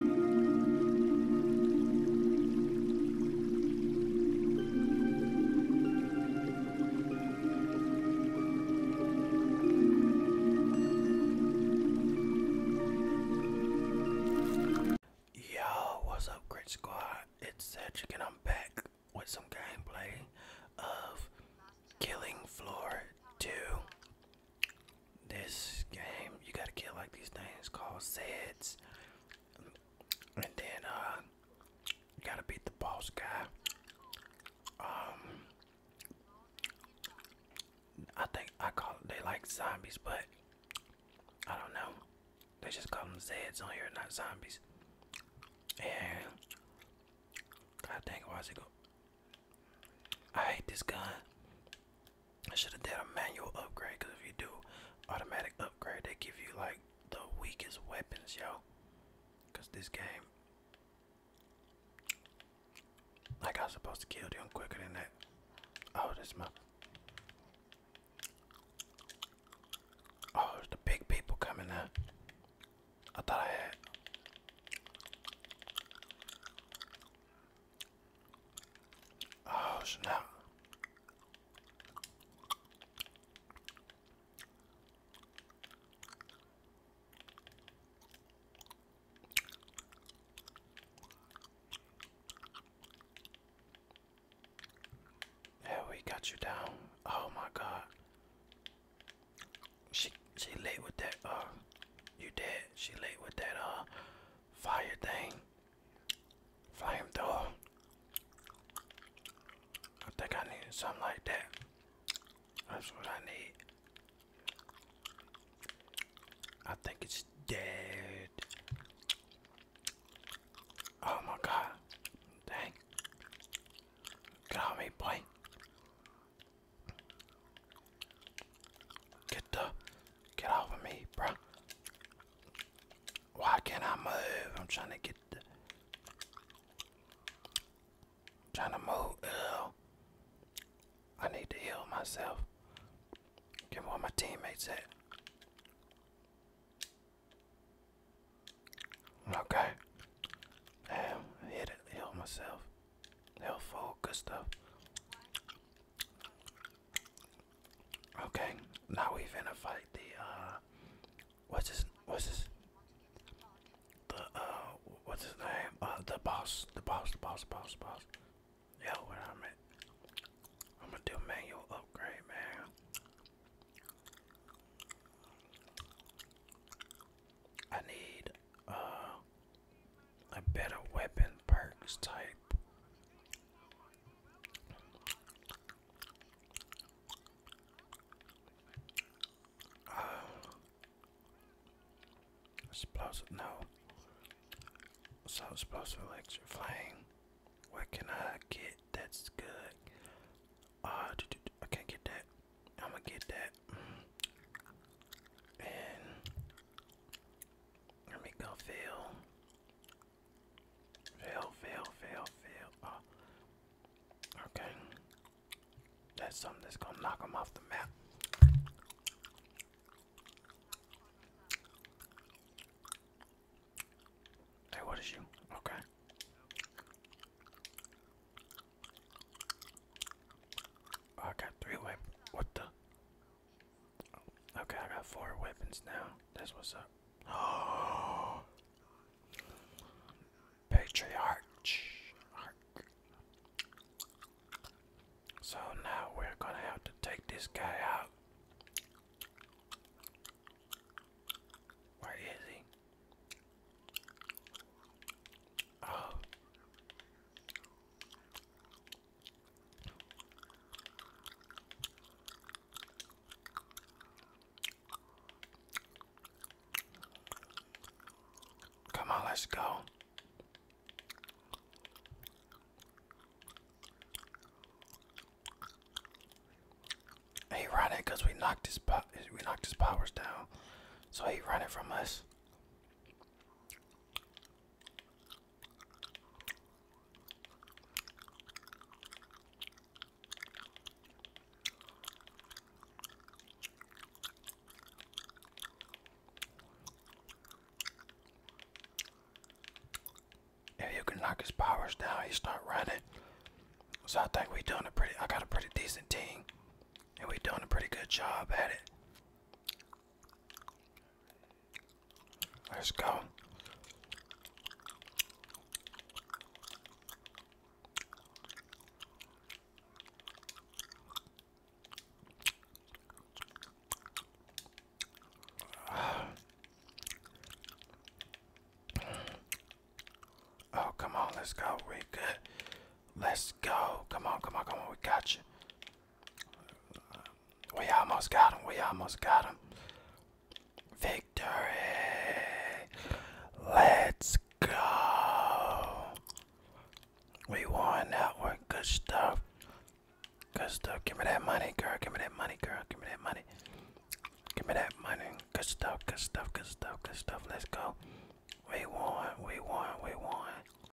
Yo, what's up, Grit Squad? It's Cedric, and I'm back with some gameplay of Killing Floor 2 this game you gotta kill like these things called zeds, and then uh you gotta beat the boss guy um I think I call they like zombies but I don't know they just call them Zeds on here not zombies and God dang it it go I hate this guy. I should have done a manual upgrade because if you do automatic upgrade, they give you like the weakest weapons, yo. Because this game, like I was supposed to kill them quicker than that. Oh, this my. Oh, the big people coming out. I thought I had. Oh snap. Yeah, we got you down. Oh my god. She she late with that uh you dead. She late with that uh Fire thing. Flamethrower. I think I need something like that. That's what I need. I think it's dead. Oh my god. Dang. Get me, boy. Get the get off of me, bro. Why can't I move? I'm trying to get the trying to move. I need to heal myself. Get where my teammates at. Okay. Damn, hit it, heal myself they Helpful, good stuff. Okay, now we're gonna fight the uh what's his what's his the uh what's his name? Uh the boss, the boss, the boss, boss, boss. Yo, what I'm at I'm gonna do manual upgrade, man. I need uh, a better weapon perks type. Uh, explosive, no. So explosive electric flame. What can I get that's good? Uh, I can't get that. I'm gonna get that. Let me go fail. Fail, fail, fail, fail. Oh. Okay. That's something that's gonna knock them off the map. Hey, what is you? Okay. Oh, three way. What the? Okay, I got four weapons now. This was a patriarch. So now we're gonna have to take this guy out. Where is he? Oh. Come on, let's go. He running because we knocked his we knocked his powers down, so he running from us. If you can knock his powers down, he start running. So I think we doing a pretty I got a pretty decent team. And we doing a pretty good job at it. Let's go. Oh, come on, let's go. We Let's go. Come on, come on, come on. We got you. We almost got him. We almost got him. Victory. Let's go. We won that one. Good stuff. Good stuff. Give me that money, girl. Give me that money, girl. Give me that money. Give me that money. Good stuff. Good stuff. Good stuff. Good stuff. Let's go. We won. We won. We won.